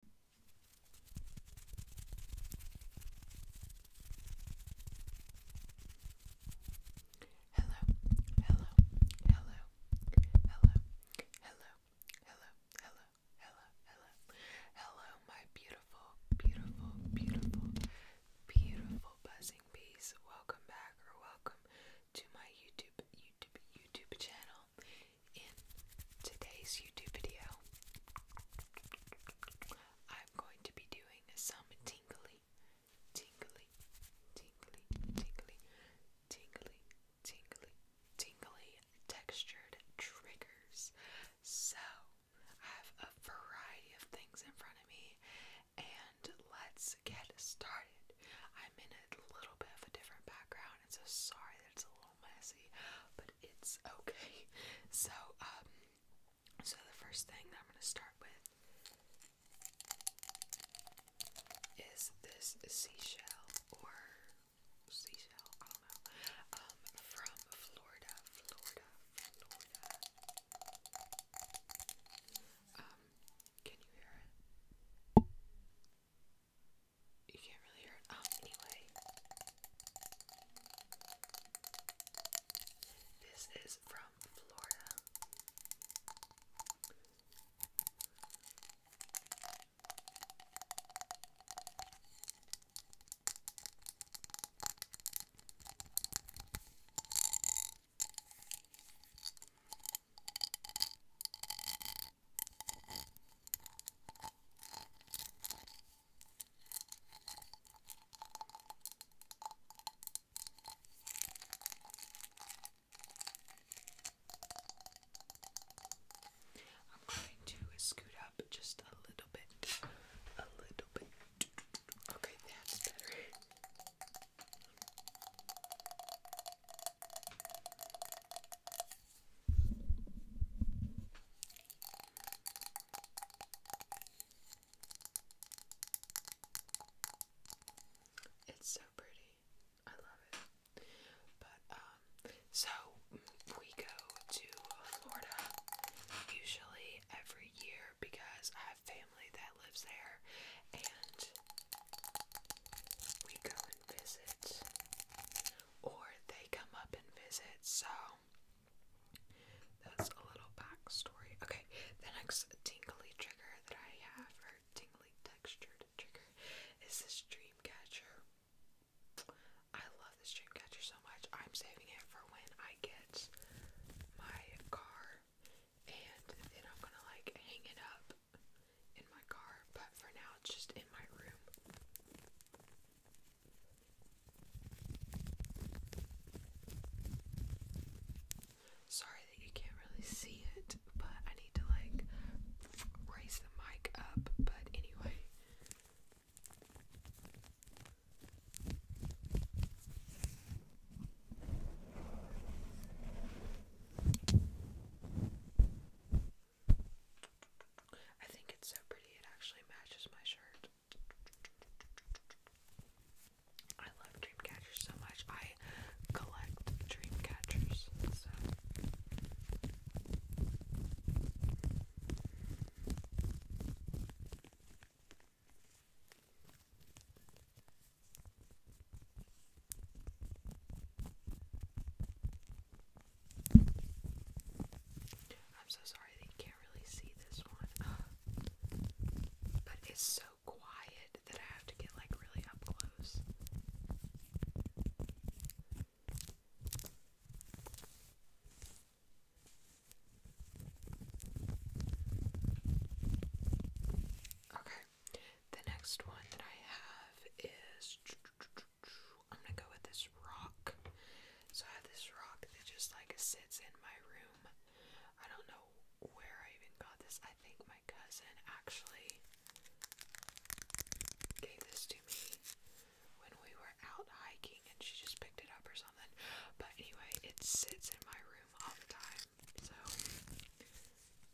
Hello, hello, hello, hello, hello, hello, hello, hello, hello, hello, my beautiful, beautiful, beautiful, beautiful buzzing bees. Welcome back or welcome to my YouTube, YouTube, YouTube channel in today's YouTube video, I'm going to be doing some tingly, tingly, tingly, tingly, tingly, tingly, tingly textured triggers. So, I have a variety of things in front of me, and let's get started. I'm in a little bit of a different background, and so sorry that it's a little messy, but it's okay. So, um, so the first thing that I'm going to start with is this seashell or seashell, I don't know, um, from Florida, Florida, Florida. Um, can you hear it? you can't really hear it. Oh, anyway, this is from Florida. I'm going to scoot up just a little bit, a little bit. Okay, that's better. It's so pretty. I love it. But um, so we go to Florida usually every year because I have family that lives there and we go and visit or they come up and visit. So that's a little backstory. Okay, the next tingly trigger that I have, or tingly textured trigger, is this dream catcher. I love this dream catcher so much. I'm saving it for when I get my car and then I'm gonna like hang it up in my car, but for now it's just in my room. Sorry that you can't really see it, but I need to like raise the mic up, but anyway. I think it's so pretty, it actually matches my shirt. I love dreamcatchers so much. I collect dreamcatchers, so I'm so sorry that you can't really see this one. but it's so quiet that I have to get like really up close. Okay, the next one that I have is I'm gonna go with this rock. So I have this rock that just like sits in my room. I don't know where I even got this. I think my cousin actually gave this to me when we were out hiking and she just picked it up or something. But anyway, it sits in my room all the time. So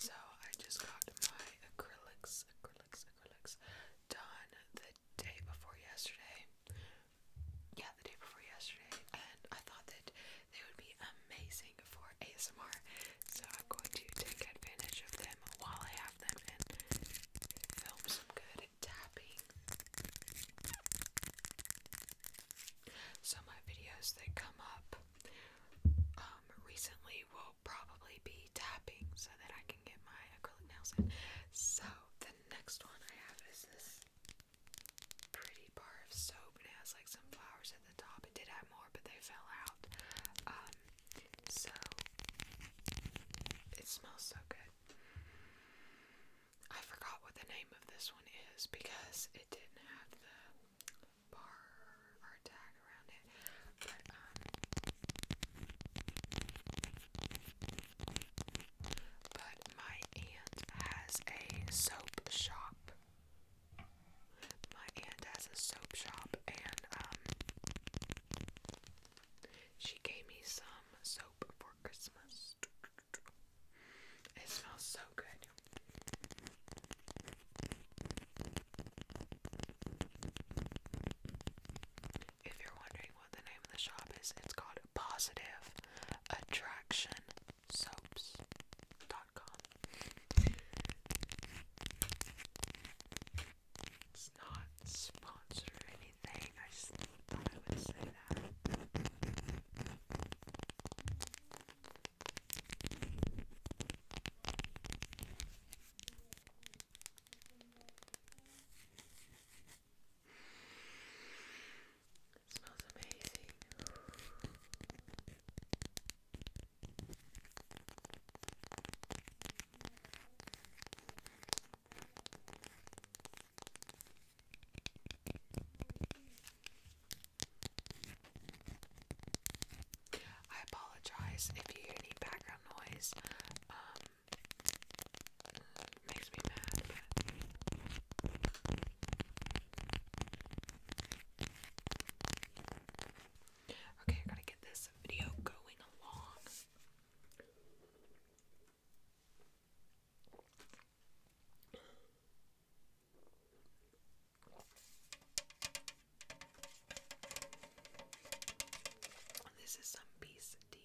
So I just got my acrylics, acrylics, acrylics done the day before yesterday. Yeah, the day before yesterday, and I thought they would be amazing for ASMR. So I'm going to take advantage of them while I have them and film some good tapping. So my videos that come up um, recently will probably be tapping so that I can get my acrylic nails in. So the next one I have is this pretty bar of soap and it has like some flowers at the top. It did have more, but they fell out. Um, so it smells so good. I forgot what the name of this one is because it didn't have the bar or tag around it. But um, my aunt has a soap shop my aunt has a soap shop, and um, she gave me some soap for Christmas. It smells so good. If you're wondering what the name of the shop is, it's called Positive Attraction soaps.com. It's not sponsored anything, I thought I would say that. It smells amazing. I apologize if you hear any background noise. Um, makes me mad, Okay, I gotta get this video going along. This is some beast tea.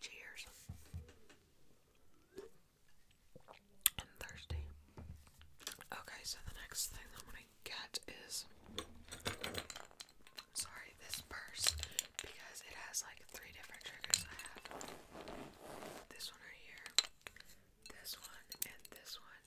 Cheers. i thirsty. Okay, so the next thing I'm gonna get is sorry, this purse because it has like three different triggers. I have this one right here, this one, and this one.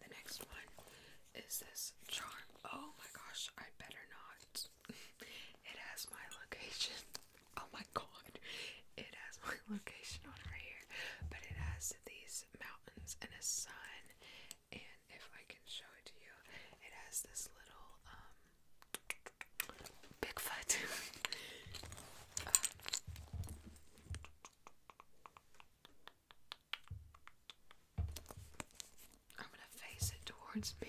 The next one is this charm. Oh my gosh, I better not. it has my location. Oh my god. It has my location on right here. But it has these mountains and a sun. And if I can show it to you, it has this little um Bigfoot. um, I'm going to face it towards me.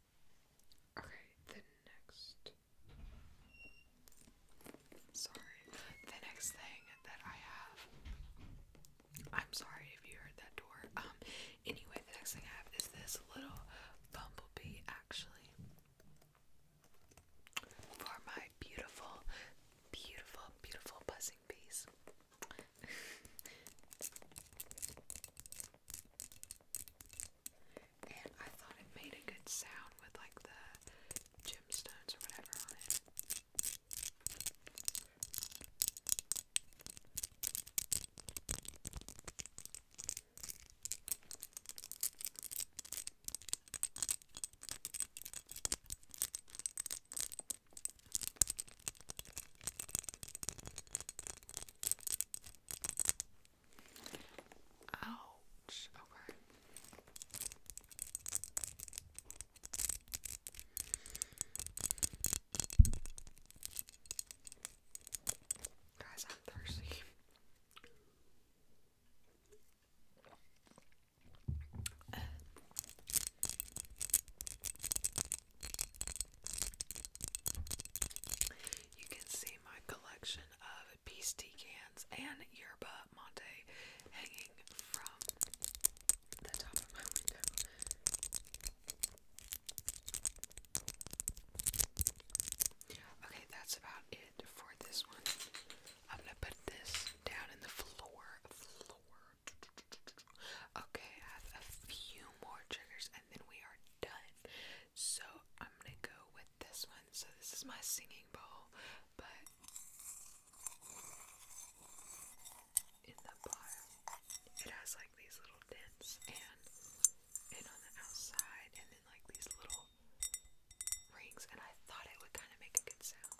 Okay, the next. Sorry. The next thing that I have. I'm sorry if you heard that door. Um, anyway, the next thing I have is this little bumblebee, actually. For my beautiful, beautiful, beautiful buzzing bees. And I thought it made a good sound with like the gemstones or whatever on it. Ouch. Okay. Guys, I'm thirsty. Uh. You can see my collection of Beastie cans and Yerba Monte hanging from the top of my window. Okay, that's about it for this one. I'm gonna put this down in the Floor. Okay, I have a few more triggers then we are done. So I'm gonna go with this one. So this is my singing bowl, but in the bottom it has like these little dents and and on the outside and then like these little rings and I thought it would kind of make a good sound.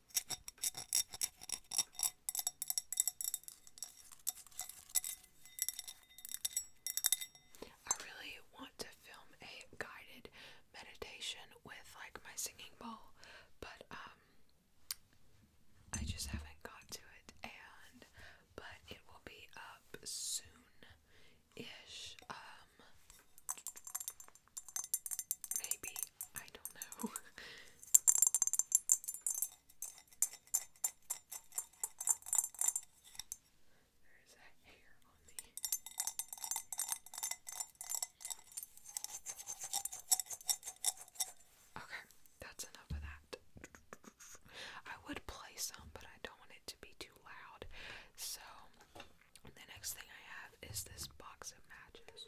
I really want to film a guided meditation with like my singing bowl, but um I just haven't got to it and but it will be up soon ish. Um Maybe. I don't know. There's a hair on me. Okay, that's enough of that. I would play some, but I don't want it to be too loud. So, the next thing I have is this box of matches.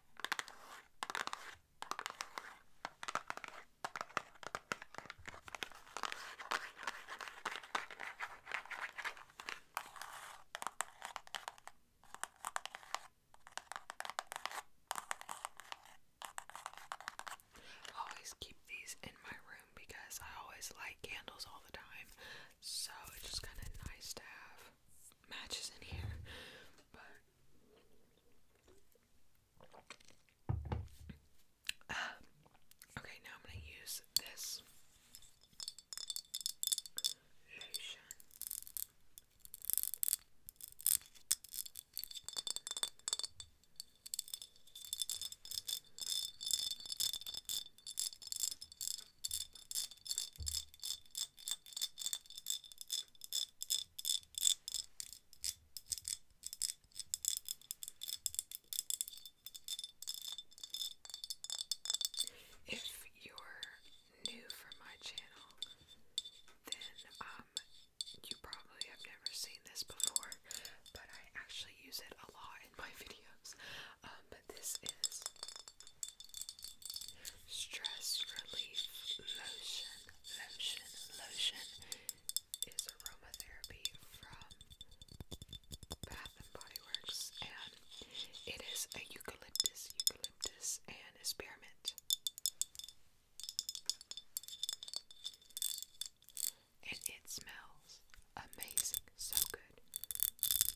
I always keep these in my room because I always light candles all the time, so it's just kind of nice to have matches in here, but uh, okay. Now I'm gonna use this lotion. If you're new from my channel, then um you probably have never seen this before, but I actually use it a lot in my videos. Um, but this is Stress relief lotion, lotion, lotion is aromatherapy from Bath and Body Works, and it is eucalyptus, eucalyptus, and spearmint. And it smells amazing, so good.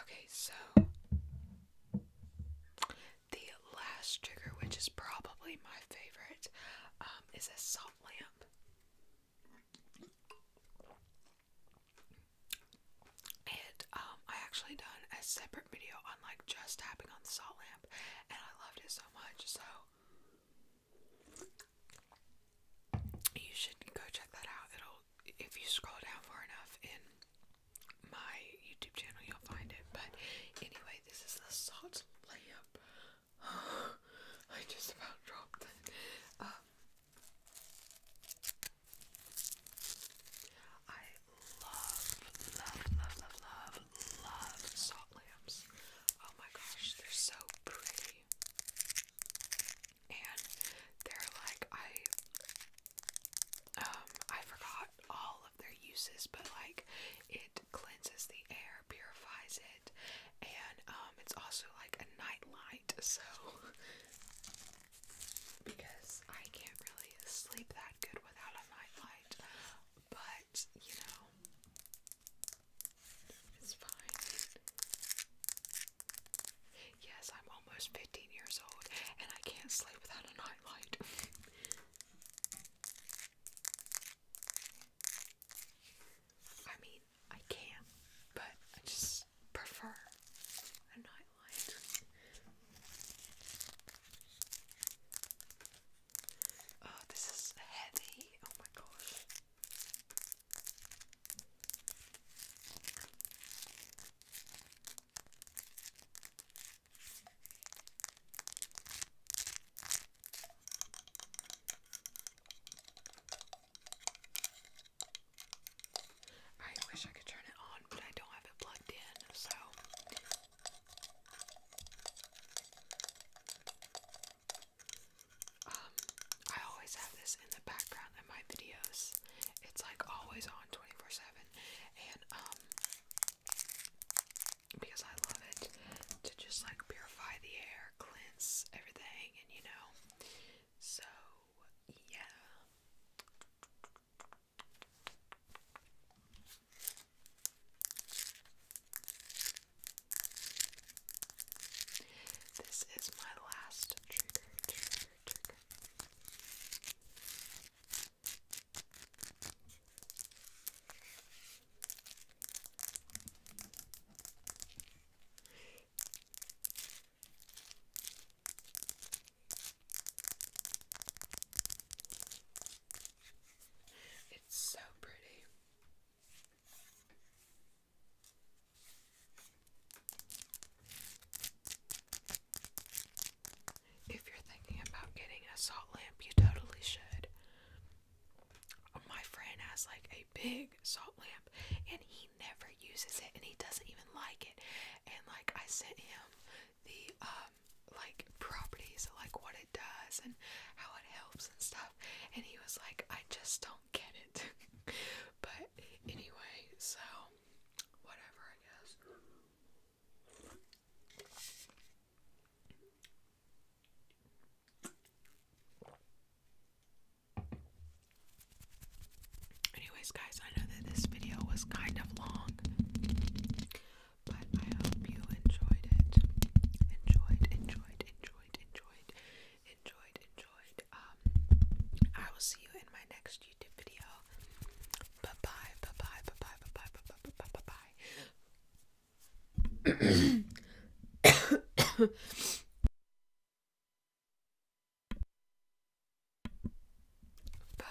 Okay, so the last trigger, which is probably my favorite, um, is a salt lamp. And um, I actually done a separate video on like just tapping on salt lamp and I loved it so much. So you should go check that out. It'll if you scroll down far enough in my YouTube channel you'll find it. But anyway, this is the salt lamp. I just about dropped it. Um love, love, love, love, love, love salt lamps. Oh my gosh, they're so pretty. And they're like I um I forgot all of their uses, but like it cleanses the air, purifies it, and um it's also like a night light, so because I can't really sleep that good without a nightlight, but you know, it's fine. Yes, I'm almost 15 years old and I can't sleep without a nightlight. I mean, I can, but I just prefer a nightlight. Oh, this is heavy. Oh my gosh. I wish I could turn it on, but I don't have it plugged in, so um, I always have this in the background of my videos. It's like always on 24/7 and um because I love it to just like purify the air, cleanse everything and you know. So, yeah. This is my last trigger, trigger, trigger. It's so pretty. If you're thinking about getting a salt lamp, you totally should. My friend has like a big salt lamp and he never uses it and he doesn't even like it. And like, I sent him the um like properties like what it does and how it helps and stuff and he was like I just don't get it but anyway so whatever I guess Anyways guys I know that this video was kind of long but I hope you enjoyed it. Enjoyed, enjoyed, enjoyed, enjoyed, enjoyed, enjoyed. Um, I will see you in my next YouTube video. Bye bye, bye bye, bye bye, bye bye, bye bye, bye bye, bye.